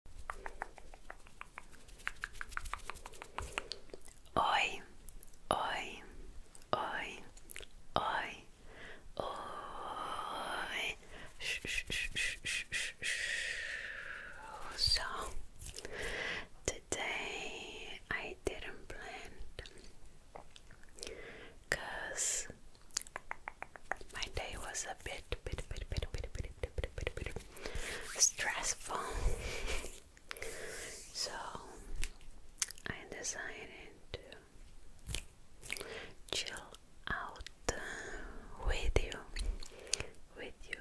Oi, oi, oi, oi, oi. Shh, shh, shh, shh, shh, shh, shh. So today I didn't plan because my day was a bit, bit, bit, bit, bit, bit stressful. so I decided to chill out with you, with you,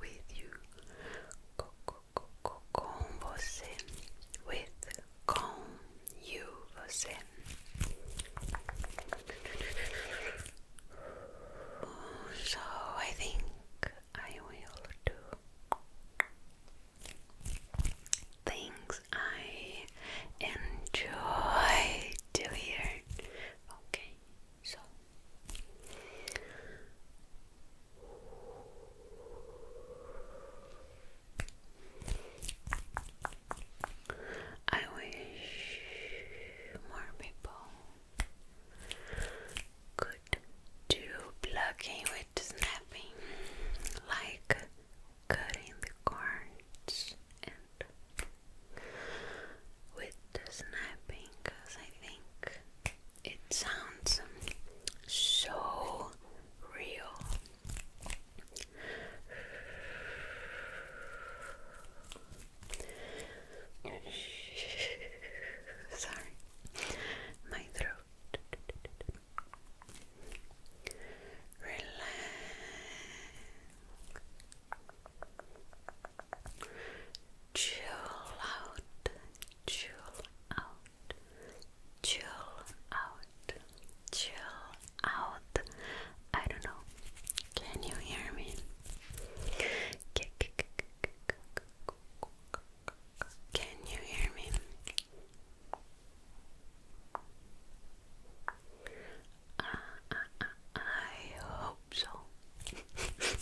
with you, co co co co com você, with com you você. So I think I will do things I enjoy doing. Okay, so. I wish more people Good. Do plucking with snapping, like cutting the cords and with snapping, because I think it sounds so real. Sorry, my throat. Relax. Chill out. Chill out. Chill out. Chill out. I don't know. Can you hear me? Can you hear me? Uh, uh, uh, I hope so.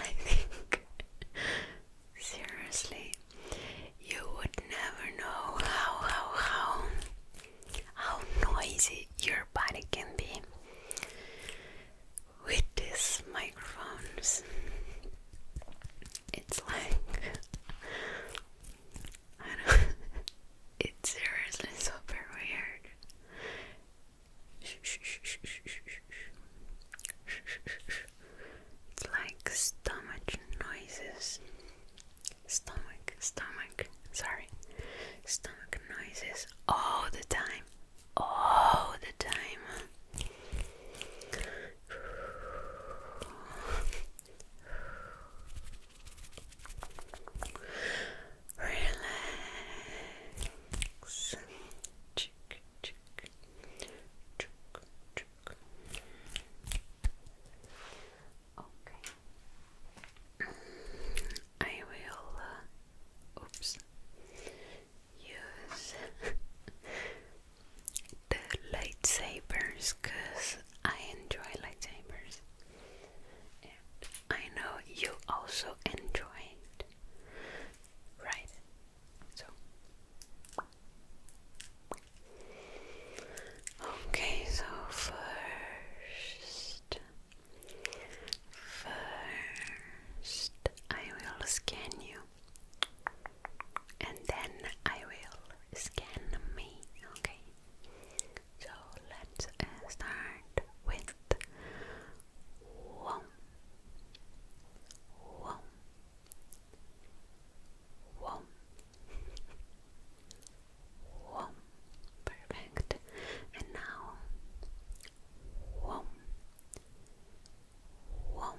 I think seriously you would never know how how how how noisy your body can be with these microphones. It's like I don't it's seriously super weird. It's like stomach noises stomach, stomach, sorry, stomach noises all the time, all the time. Relax. Okay. I will, uh, oops, use the lightsabers because I enjoy lightsabers. And I know you also enjoy it. Right. So Okay, so first First, I will scan you, and then I will scan me. Okay, so let's uh, start with one, one, one, one, Perfect. And now, whoom. Perfect. Whoom.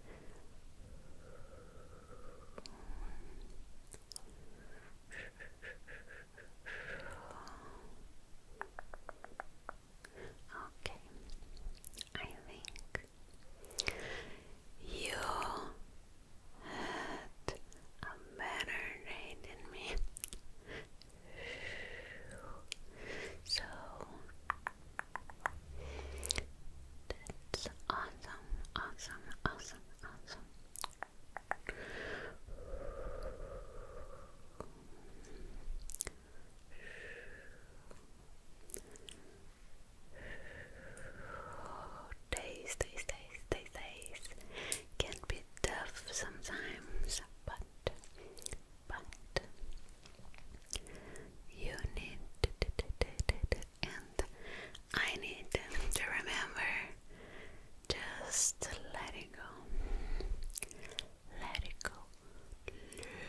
Okay, I think you had a better day than me. So, that's awesome, awesome, awesome, awesome. Days, days, days, days, days can be tough sometimes, but but you need and I need to remember just let go. Let go.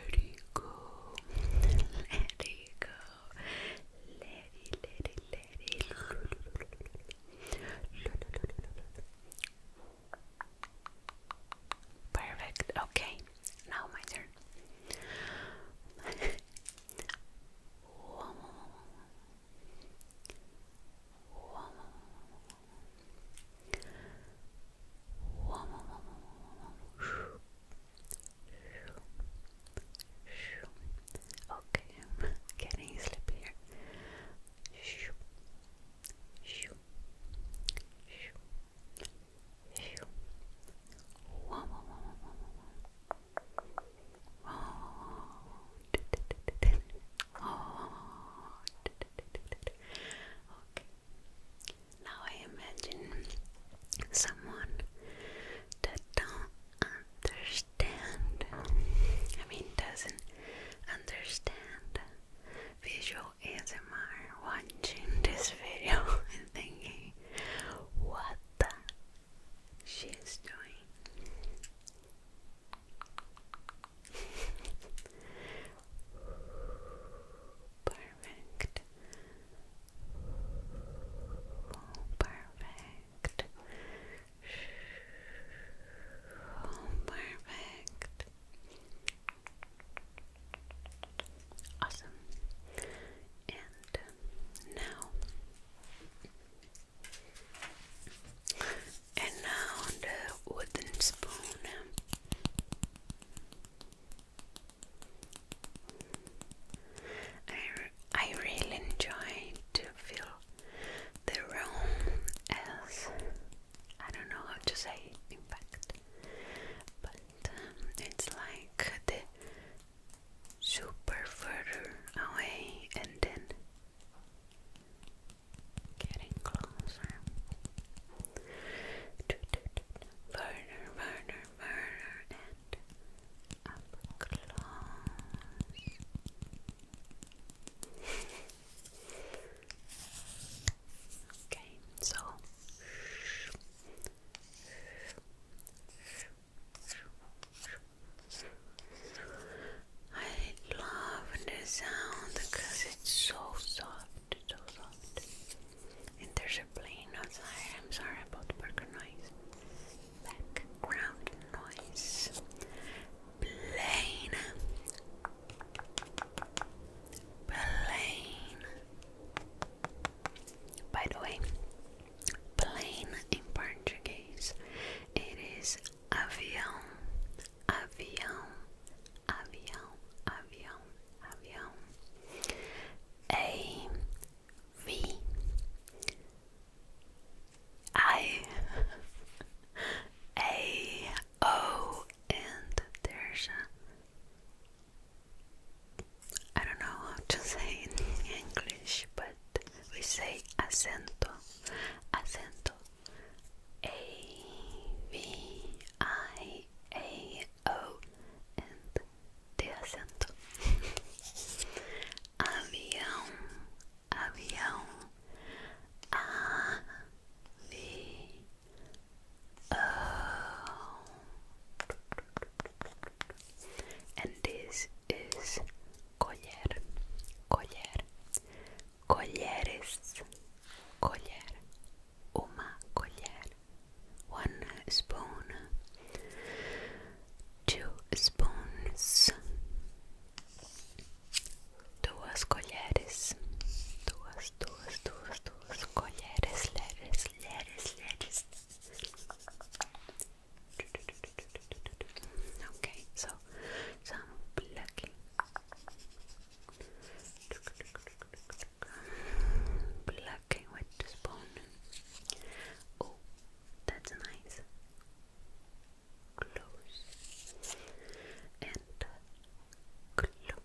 Let go. Let go. Let it, let Perfect. Okay. Now my turn. Whoa. Okay, getting sleepy here. Whoa, whoa, Now I imagine someone that don't understand. I mean, doesn't understand visual ASMR watching this video and thinking, what the she's doing. Perfect. perfect. perfect. Awesome. And um, now, and now the wooden spoon. I, I really enjoy to feel the room as I don't know how to say impact but um, it's like the super further away and then getting closer further, further, further and up close Okay, so I love the sound because it's so soft, so soft. And there's a plane outside. I'm sorry about burger noise. Background noise. Plane. Plain. By the way, plane in Portuguese it is avião, avião, avião, avião, avião. A V I A O and there's a I don't know how to say in English, but we say acento, acento, A V I A O, and the acento. avião, avião, A V Oh. And this is collar, collar, collares, collar, uma collar, one spoon, two spoons, duas colheres, duas, duas, duas, duas os colheres, leres, leres, leres. Okay, so some plucking, plucking with the spoon. Oh, that's nice. Close and close.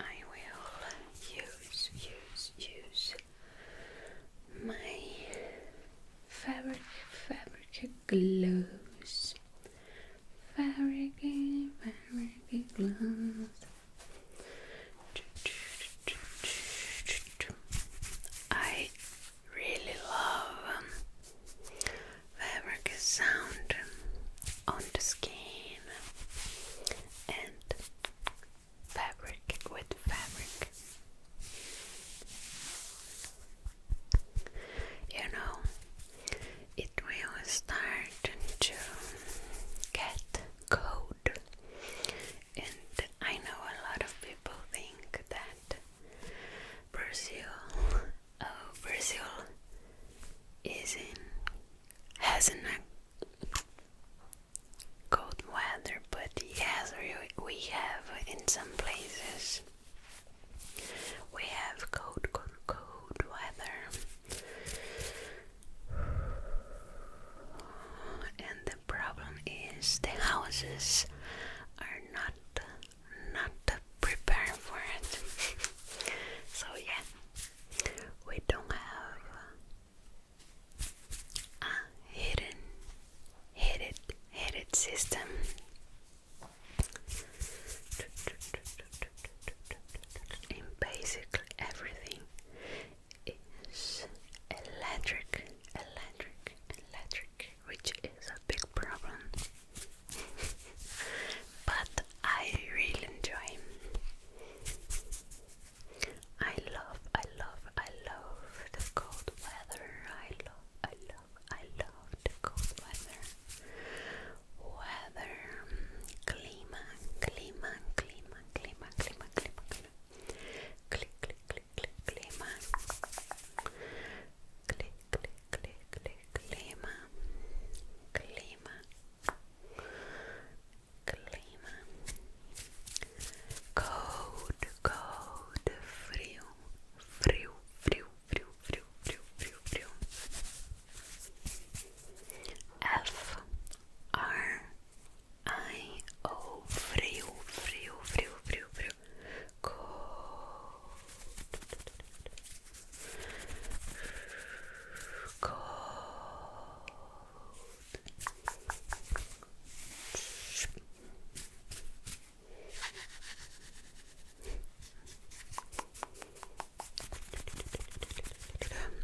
I will use, use, use my fabric, fabric gloves. Fabric, fabric gloves. I really love them fabric sound on the skin and fabric with fabric. You know, it will start to get cold, and I know a lot of people think that Brazil Oh, Brazil is in hasn't a cold weather, but yes, we have in some places we have cold, cold, cold weather. And the problem is the houses are not not prepared for it. so yeah, we don't have a hidden, hidden, hidden system. In basically everything is electric, electric, electric, which is a big problem but I really enjoy. I love, I love, I love the cold weather. I love, I love, I love the cold weather. Weather, clima, clima, clima, clima, clima, clima, clima. Click, click, click, click, click, cold, cold, frio, frio, frio, frio, frio, frio, frio, frio. F R I O frio, frio, frio, frio, frio. Cold.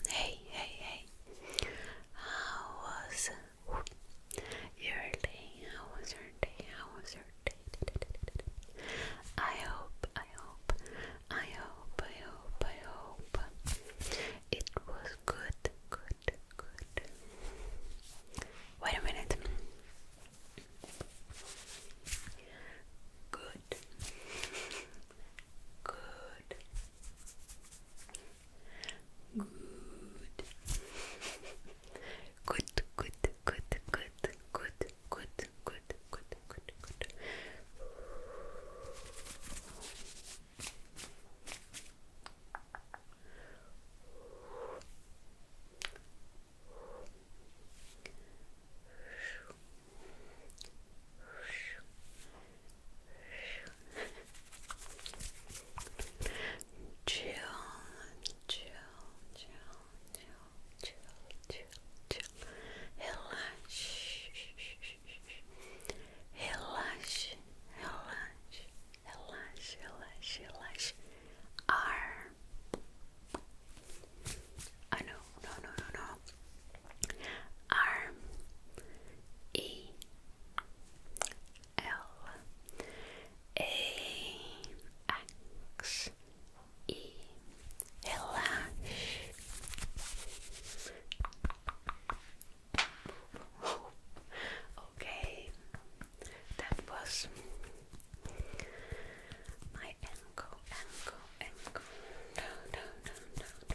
Hey, hey, hey. How was your day? How was your day? How was your I hope, I hope, I hope, I hope, I hope it was good, good, good. Wait a minute. Good. Good. Good. Good, good, good, good, good good, good, good, good, good. chill, chill, chill chill, Relax, relax, relax, relax, relax, relax. R. I oh, know, no, no, no, no. R. E. L. A. X e relaxe. Okay, that was my ankle, ankle, ankle. No, no, no, no, no, no.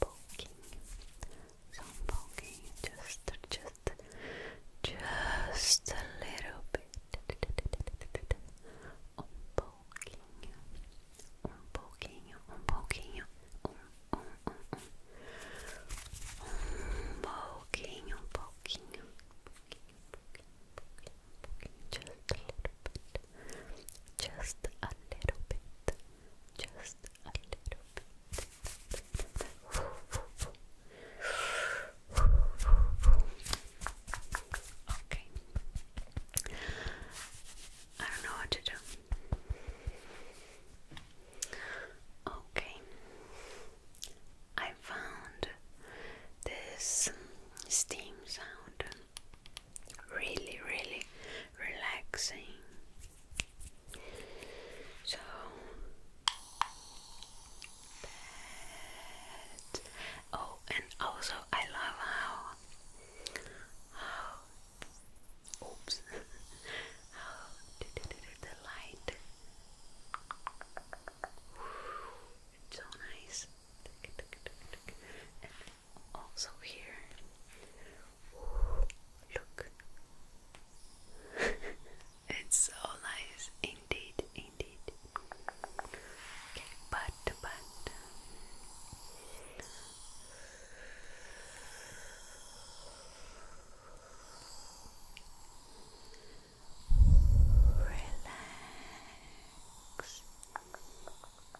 poking, some poking, just, just, just a little bit. On poking, on poking, on poking, on, on, on, on. On poking, on poking, poking, poking, poking, poking, just a little bit just a little bit, just a little bit. Okay. I don't know what to do. Okay, I found this steam sound really, really relaxing. So oh, and also I love how how oops how the light. so nice also here. look. it's so nice indeed, indeed. but but Relax.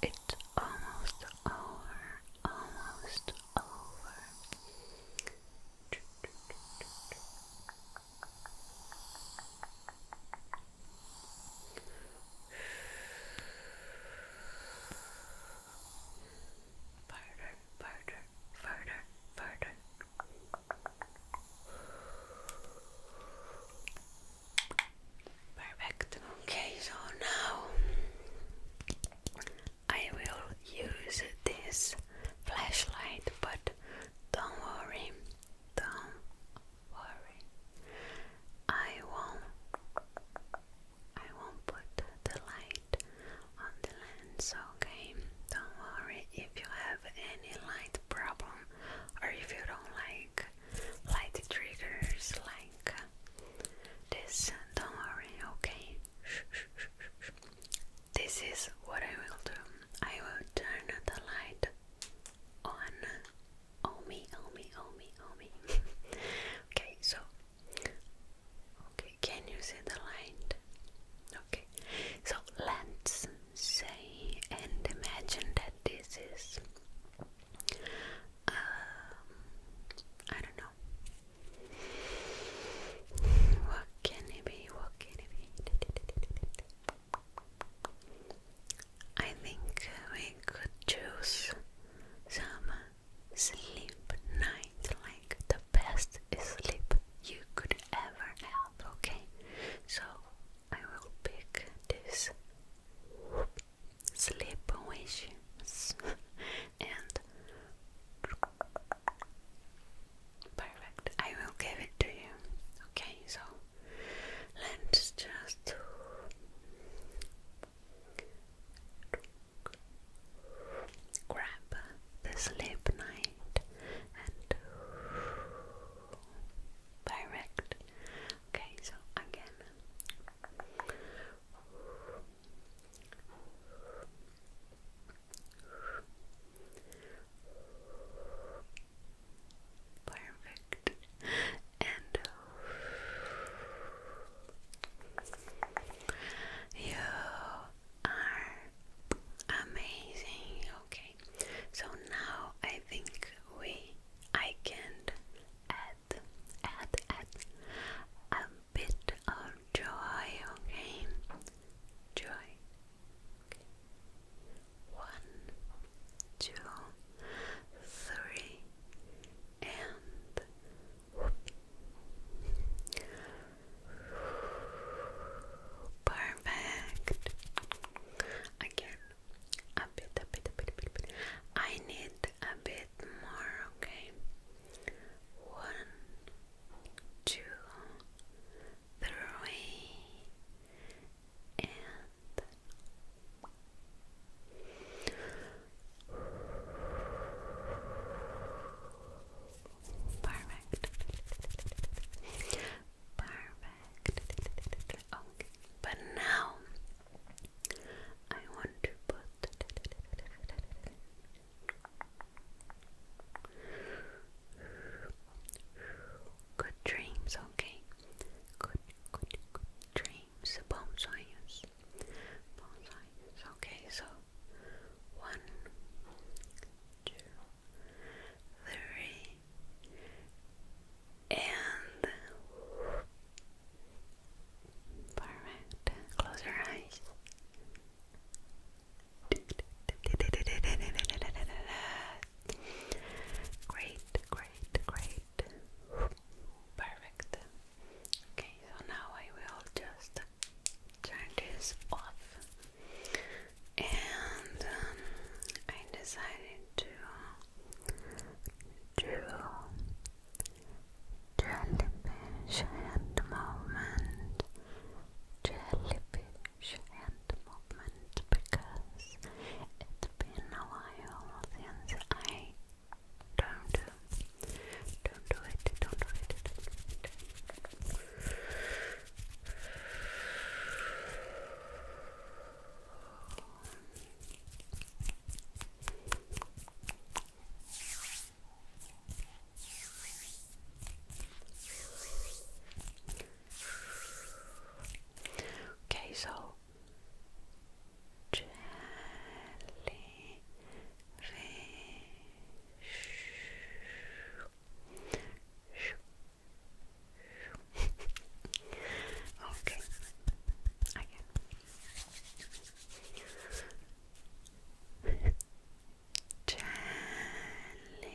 It's almost over, almost over. Part further, further, further. Perfect. Okay, so now I will use this flashlight, but don't worry, don't worry. I won't I won't put the light on the lens, okay? Don't worry if you have any light problem or if you don't like light triggers like this, don't worry, okay? This is what I will do. I will turn the light on. Oh me, oh me, oh me, oh me. okay, so Okay, can you see the light? Okay, so let's say and imagine that this is, uh, I don't know, what can it be? What can it be? I think we could choose some sleep night, like the best sleep you could ever have, okay? So I will pick this sleep wishes and perfect. I will give it to you. Okay, so let's just Grab the sleep night and direct. Okay, so again. Perfect. And you are amazing. Okay, so now I think we I can add add add a bit of joy. Okay, joy. One, two, three, and Perfect. Again, a bit, a bit, a bit, a bit, I need a bit more, okay? One, two, three, and. But now I want to put good dreams, okay? Good, good, dreams sides. Okay, so one, two, three, and perfect. Close your eyes. Great, great, great. Perfect. Okay, so now I will just turn this off and um, I decided to do jellyfish hand movement jellyfish hand movement because it's been a while since I don't do not don't do it, don't do it, Okay, so jelly, okay, again. Jellyfish. Jellyfish.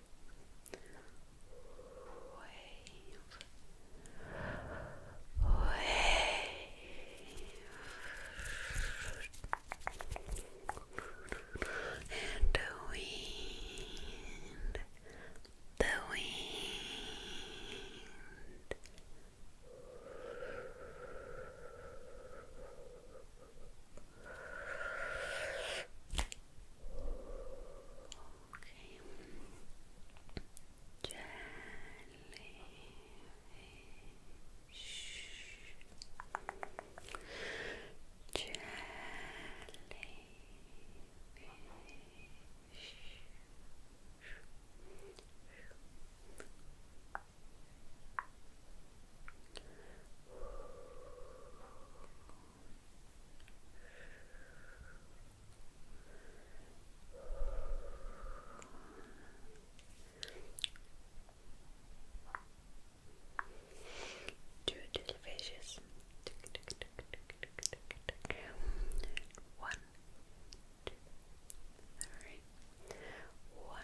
wave, wave, and the wind, the wind. Okay. Jellyfish. Jellyfish. Jellyfish. Two little One, two, three. One,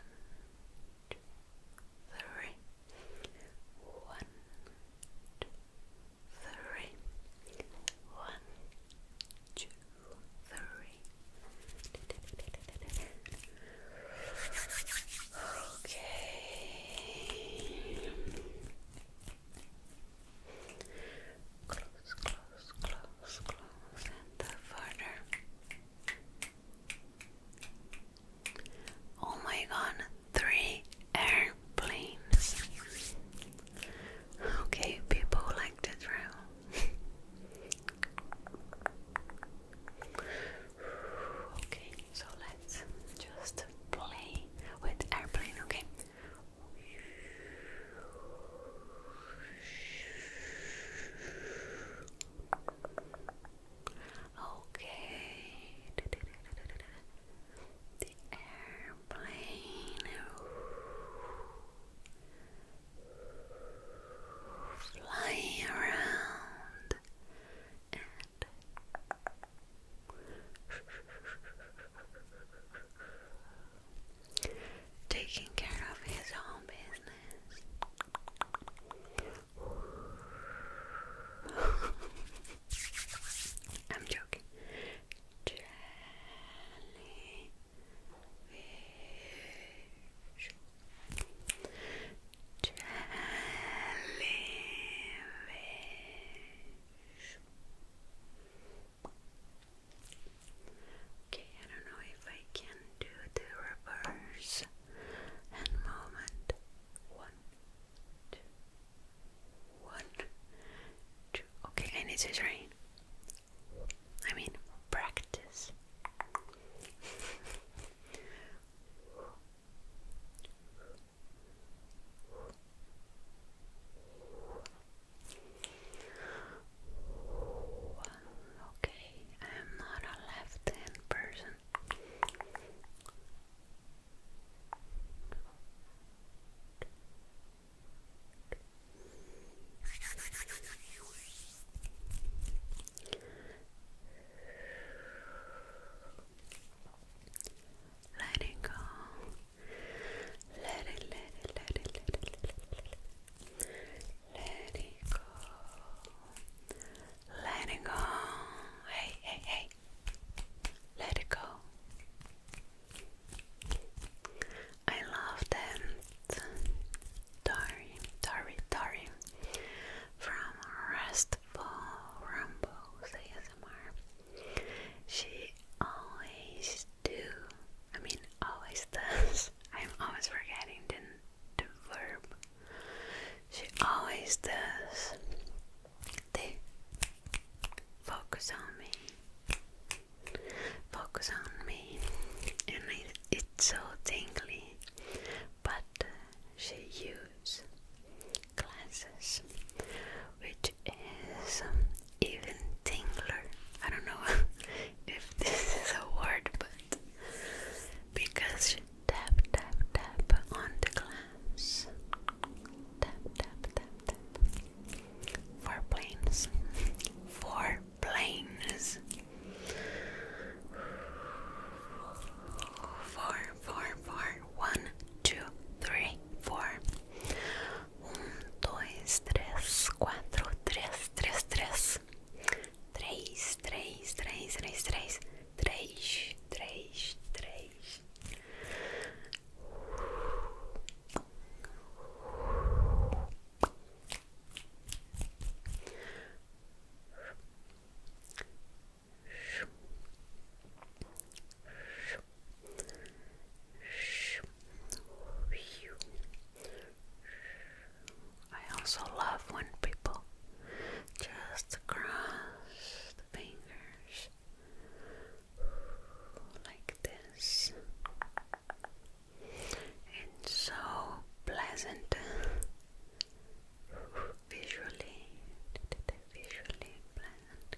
two, three one, two, three, one, two, three. Okay. Close, close, close, close, and further. Oh my god, three airplanes. Okay, people like to travel. okay, so let's just play with airplane, okay? Okay. The airplane flying around taking care of his own business. I'm joking. Jellyfish. Jellyfish. Okay, I don't know if I can do the reverse hand movement. One, two, one, two. Okay, I need to train. I mean, practice. okay, I am not a left hand person. Let it go. Let it, let it, let it, let it, let it, go. Let go. Hey, hey, hey. Let it go. I love them. Dari, Dari, Dari from Restful Rumbles ASMR. She always do. I mean, always does. I'm always forgetting the, the verb. She always does. They focus on me. Focus on me. And it's so tingly. But she uses glasses, which is even tingler. I don't know if this is a word, but because tap, tap, tap on the glass. Tap, tap, tap, tap. Four planes. Four planes. Four, four, four. One, two, three, four. Un, dos, tres, cuatro, tres, tres, tres. Tres, tres, tres, tres, tres três, três, três. I also love when people just cross the fingers like this. It's so pleasant visually, visually pleasant.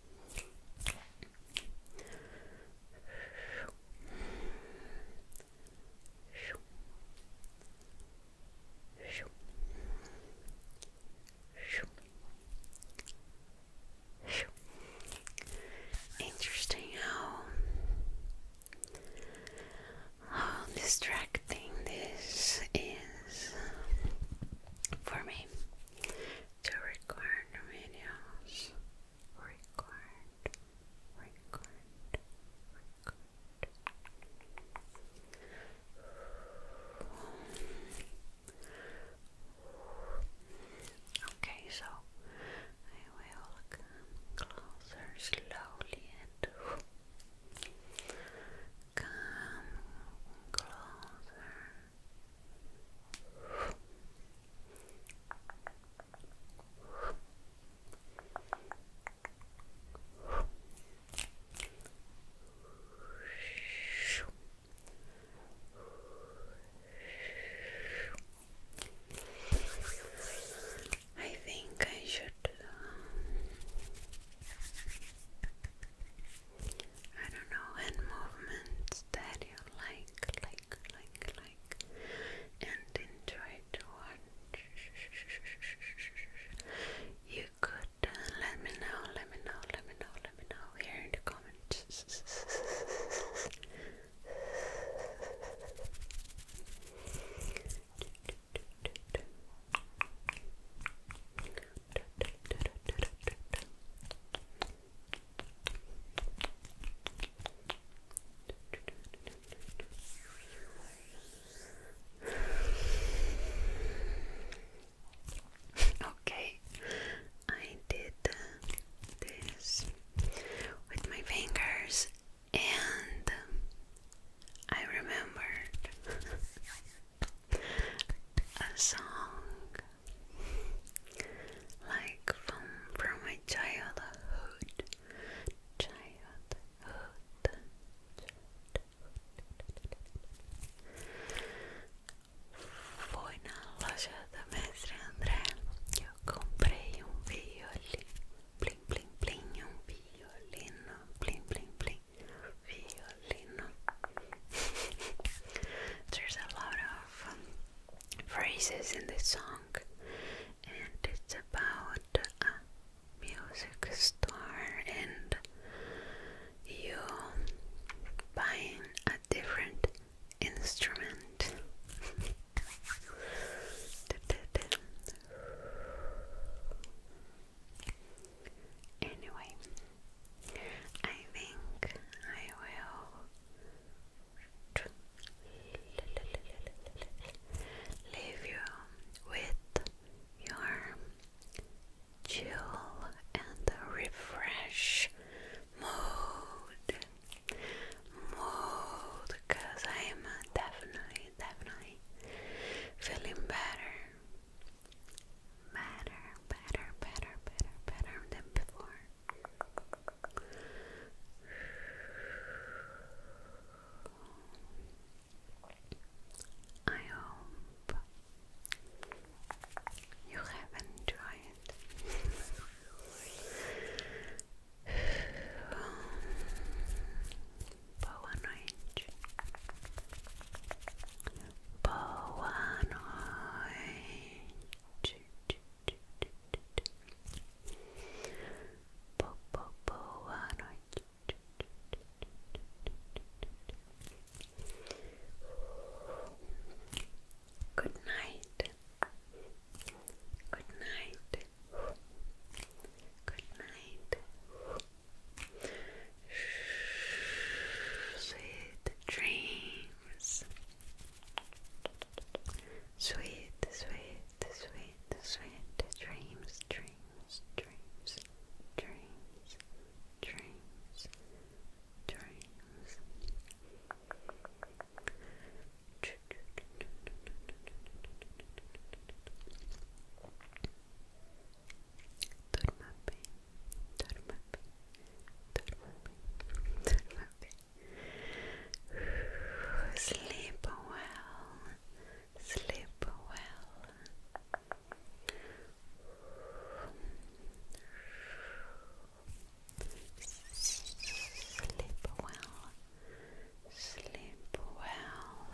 Interesting how how distracting this is for me to record videos. Record, record, record. Okay, so I will come closer slowly and come closer I think I should um, I don't know, hand movements that you like, like, like, like, and enjoy to watch. You could uh, let me know, let me know, let me know, let me know here in the comments. Okay, I did this with my fingers, and I remembered a song like from from my childhood, childhood, Foi na loja da Mestre eu comprei um violino, blim blim blim, um violino, blim blim blim, violino. There's a lot phrases in the song, and it's about a music star, and you buying a different instrument. Anyway, I think I will leave you with your chill and refresh mood. Mood, because I am definitely, definitely feeling better better, better, better, better, better than before. I hope you have enjoyed. Boa noite po po po à nói good night good night good night sweet dreams Sweet, sweet, sweet, sweet dreams, dreams, dreams, dreams, dreams, dreams. Dorma bem dormame, dormame, dormame. Sleep well, sleep well. Sleep well, sleep well, sleep well.